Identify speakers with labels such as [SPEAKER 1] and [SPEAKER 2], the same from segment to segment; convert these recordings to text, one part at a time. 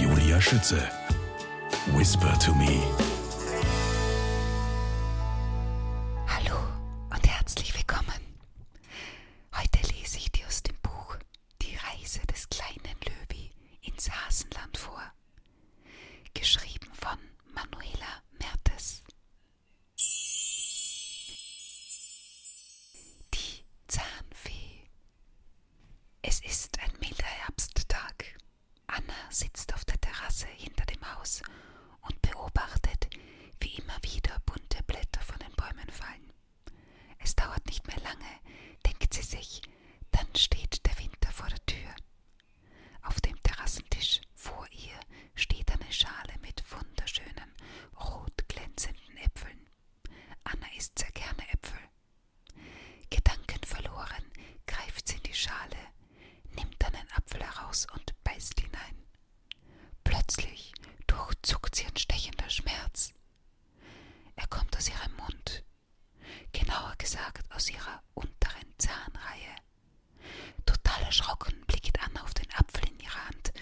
[SPEAKER 1] Julia Schütze. Whisper to me. Hallo und herzlich willkommen. Heute lese ich dir aus dem Buch Die Reise des kleinen Löwi ins Hasenland vor. Geschrieben von Manuela Mertes. Die Zahnfee. Es ist ein milder Herbsttag. Anna sitzt auf der Terrasse hinter dem Haus und beobachtet, wie immer wieder bunte Blätter von den Bäumen fallen. Es dauert nicht mehr lange, denkt sie sich, dann steht der Winter vor der Tür. Auf dem Terrassentisch vor ihr steht eine Schale mit wunderschönen, rot glänzenden Äpfeln. Anna isst sehr gerne Äpfel. Gedankenverloren greift sie in die Schale, nimmt dann einen Apfel heraus und beißt hinein. Plötzlich durchzuckt sie ein stechender Schmerz. Er kommt aus ihrem Mund, genauer gesagt aus ihrer unteren Zahnreihe. Total erschrocken blickt Anna auf den Apfel in ihrer Hand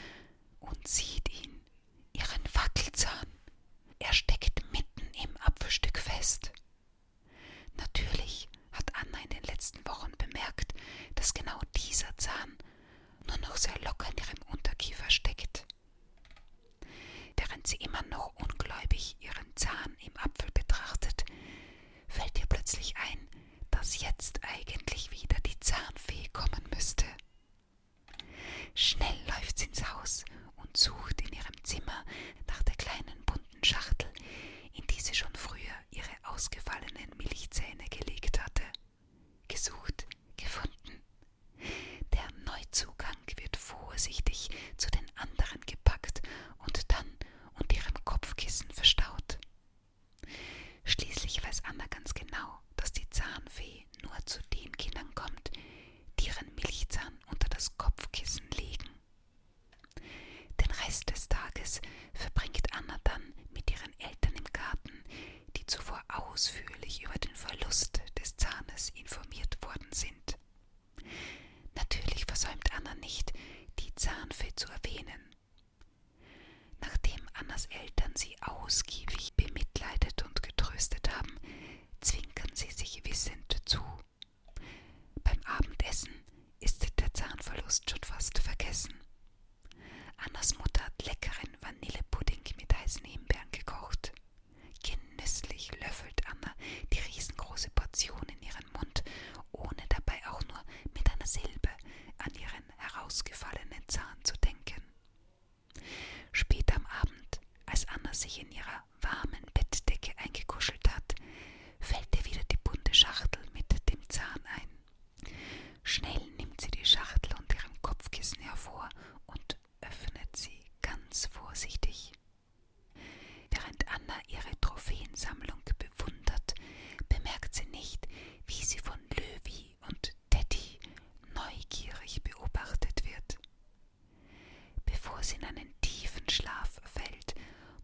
[SPEAKER 1] und sieht ihn ihren Wackelzahn. Er steckt mitten im Apfelstück fest. Natürlich hat Anna in den letzten Wochen bemerkt, dass genau dieser Zahn nur noch sehr locker in ihrem Unterkiefer steckt. Während sie immer noch ungläubig ihren Zahn im Apfel betrachtet, fällt ihr plötzlich ein, dass jetzt eigentlich wieder die Zahnfee kommen müsste. Schnell läuft sie ins Haus und sucht in ihrem Zimmer nach der kleinen bunten Schachtel, in die sie schon früher ihre ausgefallenen Milchzähne gelegt hatte. Gesucht, gefunden. Der Neuzugang wird vorsichtig zu den anderen gepackt und dann unter ihrem Kopfkissen verstaut. Schließlich weiß Anna ganz genau, dass die Zahnfee nur zu den Kindern kommt, die ihren Milchzahn unter das Kopfkissen legen. Den Rest des Tages verbringt Anna dann mit ihren Eltern im Garten, die zuvor ausführlich über den Verlust des Zahnes informiert worden sind. Natürlich versäumt Anna nicht, die Zahnfee zu erwähnen, Nachdem Annas Eltern sie ausgiebig bemitleidet und getröstet haben, zwinkern sie sich wissend zu. Beim Abendessen ist der Zahnverlust schon fast vergessen. Annas Mutter hat leckeren Vanillepudding mit heißen Himbeeren gekocht. Genüsslich löffelt Anna die riesengroße Portion in ihren Mund, ohne dabei auch nur mit einer Silbe an ihren herausgefallenen Zahn zu denken. Spät am Abend, als Anna sich in ihrer warmen Bettdecke eingekuschelt hat, fällt ihr wieder die bunte Schachtel mit dem Zahn ein. Schnell nimmt sie die Schachtel unter ihrem Kopfkissen hervor und öffnet sie ganz vorsichtig. Während Anna ihre Trophäensammlung bewundert, bemerkt sie nicht, wie sie von Löwy und Teddy neugierig beobachtet wird. Bevor sie in einen tiefen Schlaf fällt,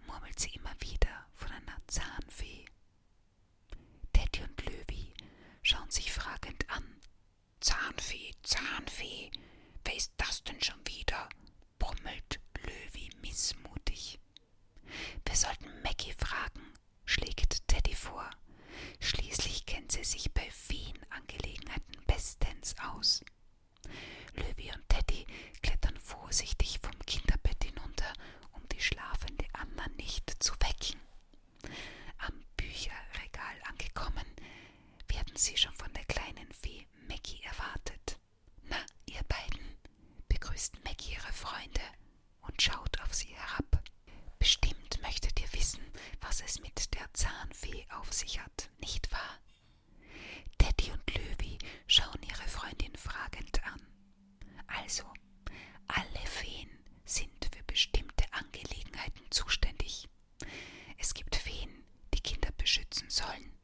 [SPEAKER 1] murmelt sie immer wieder von einer Zahnfee. Teddy und Löwy schauen sich fragend an. Zahnfee, Zahnfee, wer ist das denn schon wieder? brummelt Löwy missmutig. Wir sollten Maggie fragen, schlägt Teddy vor. Schließlich kennt sie sich bei vielen Angelegenheiten bestens aus. Löwy und Teddy klettern vorsichtig vom Kinderbett hinunter, um die schlafende Anna nicht zu wecken. Am Bücherregal angekommen, werden sie schon von der kleinen Fee Maggie erwartet. Na, ihr beiden, begrüßt Maggie ihre Freunde und schaut auf sie herab. Bestimmt möchtet ihr wissen, was es mit der Zahnfee auf sich hat, nicht wahr? Teddy und Löwy schauen ihre Freundin fragend an. Also, alle Feen sind für bestimmte Angelegenheiten zuständig. Es gibt Feen, die Kinder beschützen sollen.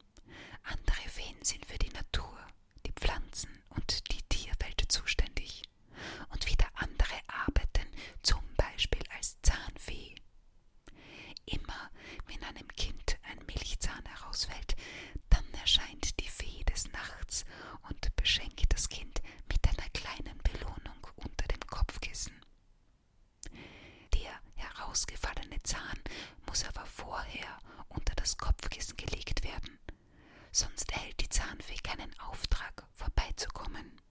[SPEAKER 1] Andere Feen sind für die Natur die Pflanzen und die Tierwelt zuständig und wieder andere arbeiten zum Beispiel als Zahnfee. Immer wenn einem Kind ein Milchzahn herausfällt, dann erscheint die Fee des Nachts und beschenkt das Kind mit einer kleinen Belohnung unter dem Kopfkissen. Der herausgefallene Zahn muss aber vorher unter das Kopfkissen gelegt werden, sonst erhält die Zahnfee keinen Auftrag, vorbeizukommen.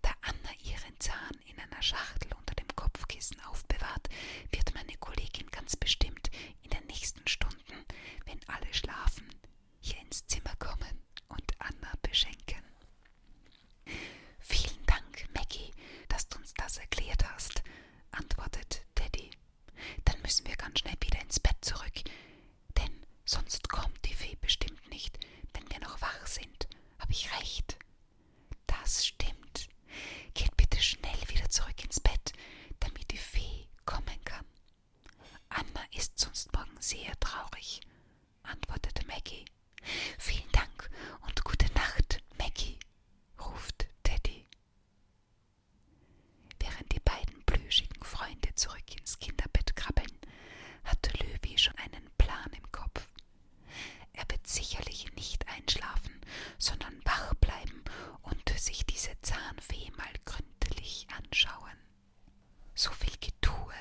[SPEAKER 1] Da Anna ihren Zahn in einer Schachtel unter dem Kopfkissen aufbewahrt, wird meine Kollegin ganz bestimmt in den nächsten Stunden, wenn alle schlafen, hier ins Zimmer kommen und Anna beschenken. Vielen Dank, Maggie, dass du uns das erklärt hast antwortet Teddy. Dann müssen wir ganz schnell wieder ins Bett zurück, denn sonst kommt die Fee bestimmt nicht, wenn wir noch wach sind. Hab ich recht? Das stimmt. Geht bitte schnell wieder zurück ins Bett, damit die Fee kommen kann. Anna ist sonst morgen sehr traurig, antwortete Maggie. Vielen Dank und gute Nacht, Maggie, ruft Teddy. Während die beiden plüschigen Freunde zurück ins Kinderbett krabbeln, hatte Löwy schon einen Plan im Kopf. Er wird sicherlich nicht einschlafen, sondern wach bleiben und sich diese Zahnfee mal gründlich anschauen. So viel Getue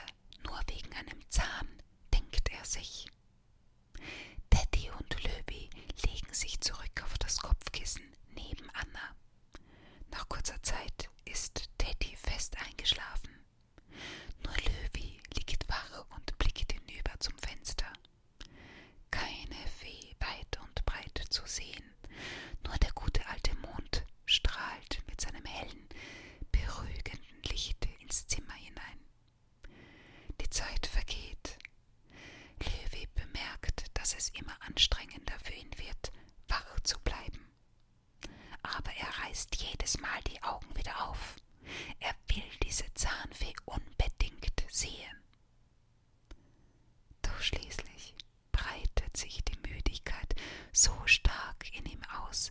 [SPEAKER 1] nur wegen einem Zahn, denkt er sich. Teddy und Löwy legen sich zurück auf das Kopfkissen neben Anna. Nach kurzer Zeit ist Teddy fest eingeschlafen. Nur Löwy liegt wach und blickt hinüber zum Fenster. Keine Fee weit und breit zu sehen, nur der gute alte Mond strahlt mit seinem hellen, beruhigenden Licht ins Zimmer hinein. Die Zeit vergeht. Levi bemerkt, dass es immer anstrengender für ihn wird, wach zu bleiben. Aber er reißt jedes Mal die Augen wieder auf. Er will diese Zahnfee unbedingt sehen. Doch schließlich breitet sich die Müdigkeit so stark in ihm aus,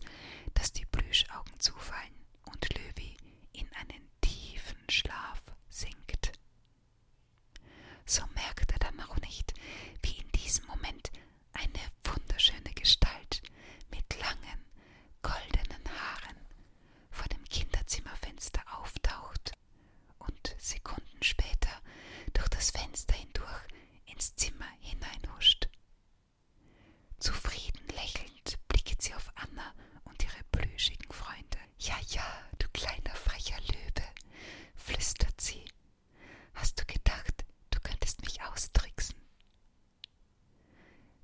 [SPEAKER 1] dass die Plüschaugen zufallen und Löwy in einen tiefen Schlaf sinkt. So merkte dann auch nicht, wie in diesem Moment eine wunderschöne Gestalt mit langen, goldenen Haaren vor dem Kinderzimmerfenster auftaucht und Sekunden später durch das Fenster hindurch ins Zimmer hineinhuscht. Zufrieden lächelnd blicket sie auf Anna und ihre plüschigen Freunde. Ja, ja, du kleiner frecher Löwe, flüstert sie. Hast du gedacht, du könntest mich austricksen?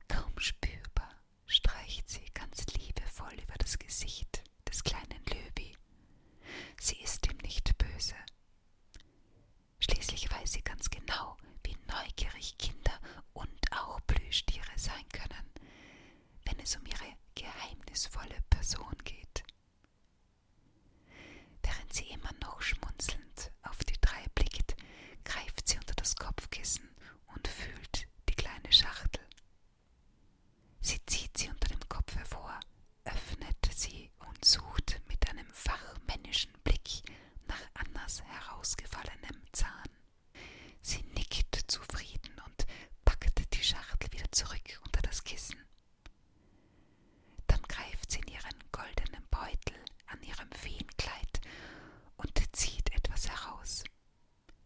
[SPEAKER 1] Kaum spürbar streicht sie ganz liebevoll über das Gesicht des kleinen Löwi. Sie ist ihm nicht böse. Schließlich weiß sie ganz genau, wie neugierig Kinder und auch Plüschtiere sein können, wenn es um ihre geheimnisvolle Person geht. Während sie immer noch schmunzelnd auf die drei blickt, greift sie unter das Kopfkissen und fühlt die kleine Schachtel. Sie zieht sie unter dem Kopf hervor, öffnete sie und suchte mit einem fachmännischen Blick nach Annas herausgefallenem Zahn. Sie nickte zufrieden und packte die Schachtel wieder zurück unter das Kissen. Dann greift sie in ihren goldenen Beutel an ihrem Feenkleid und zieht etwas heraus.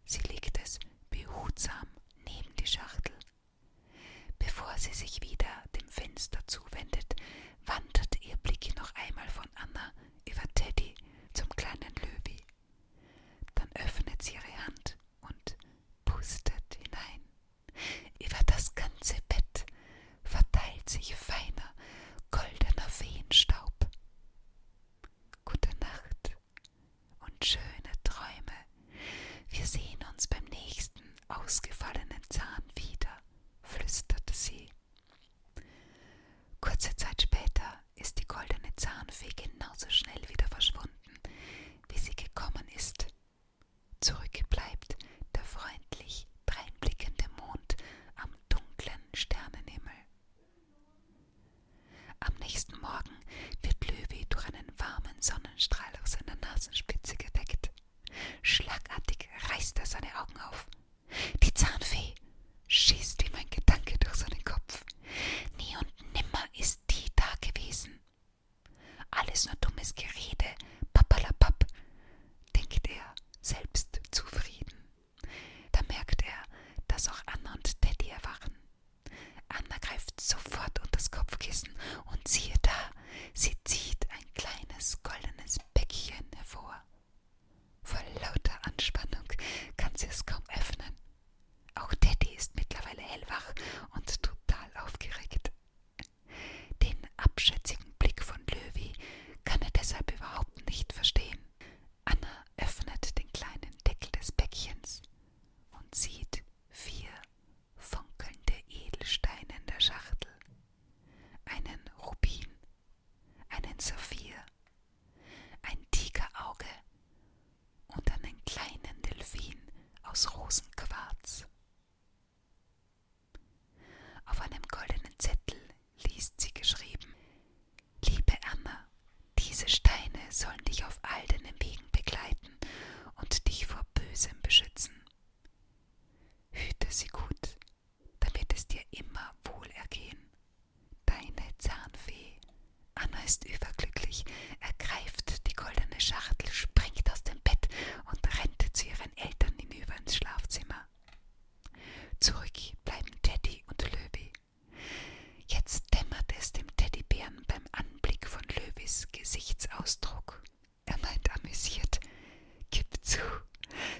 [SPEAKER 1] Sie legt es behutsam neben die Schachtel Bevor sie sich wieder dem Fenster zuwendet, wandert ihr Blick noch einmal von Anna über Teddy zum kleinen Löwy. Dann öffnet sie ihre Hand und pustet hinein. Über das ganze Bett verteilt sich feiner, goldener Feenstaub. Gute Nacht und schöne Träume. Wir sehen uns beim nächsten ausgefallenen Zahn wieder, flüsterte sie. Kurze Zeit später ist die goldene Zahnfee genauso schnell wieder verschwunden, wie sie gekommen ist. Zurückgebleibt der freundlich dreinblickende Mond am dunklen Sternenhimmel. Am nächsten Morgen wird Löwy durch einen warmen Sonnenstrahl aus seiner Nasenspitze geweckt. Schlagartig reißt er seine Augen auf. Die Zahnfee schießt ihm ein Gedanke durch seinen Kopf. Nie und nimmer ist die da gewesen. Alles nur dummes Gerede, pappalapapp, denkt er, selbst zufrieden. Da merkt er, dass auch Anna und Teddy erwachen. Anna greift sofort unter das Kopfkissen und siehe da, sie zieht ein kleines goldenes Päckchen hervor. Vor lauter Anspannung kann sie es kaum öffnen. Auch Teddy ist mittlerweile hellwach und total aufgeregt. Den abschätzigen Blick von Löwy kann er deshalb überhaupt nicht verstehen. Anna öffnet den kleinen Deckel des Päckchens und sieht vier funkelnde Edelsteine in der Schachtel, einen Rubin, einen Saphir, ein Tigerauge und einen kleinen Delfin aus Rosenquarz. Auf einem goldenen Zettel liest sie geschrieben Liebe Anna, diese Steine sollen dich auf all deinen Wegen begleiten halten und dich vor Bösem beschützen. Hüte sie gut, da wird es dir immer wohl ergehen. Deine Zahnfee. Anna ist überglücklich, ergreift die goldene Schachtel, springt aus dem Bett und rennt zu ihren Eltern hinüber ins Schlafzimmer. Zurück bleiben Teddy und Löwy. Jetzt dämmerte es dem Teddybären beim Anblick von Löwis Gesichtsausdruck. Er meint amüsiert: Gib zu,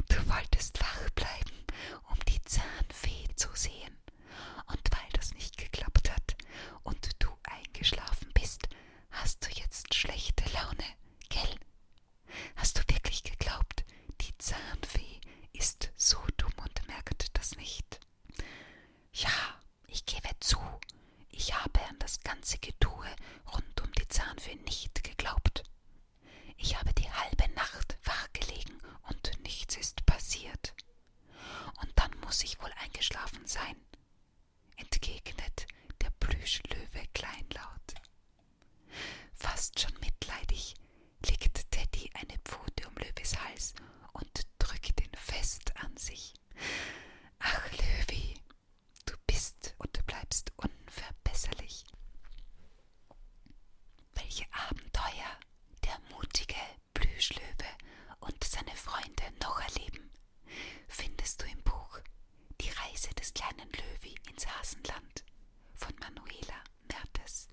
[SPEAKER 1] du wolltest wach bleiben, um die Zahnfee zu sehen. Und weil das nicht geklappt hat und du eingeschlafen bist, hast du jetzt schlechte Laune, gell? Hast du wirklich geglaubt, die Zahnfee ist so dumm und merkt das nicht? Ja, ich gebe zu, ich habe an das ganze Getue rund um die Zahnfee nicht geglaubt. Ich habe die halbe Nacht wachgelegen und nichts ist passiert. Und dann muss ich wohl eingeschlafen sein, entgegnet der Plüschlöwe kleinlaut. Fast schon mitleidig legt Teddy eine Pfote um Löwes Hals und drückt ihn fest an sich. Ach, Löwy, du bist und bleibst unverbesserlich. Welche Abenteuer der mutige Plüschlöwe und seine Freunde noch erleben, findest du im Buch Die Reise des kleinen Löwy ins Hasenland von Manuela Mertes.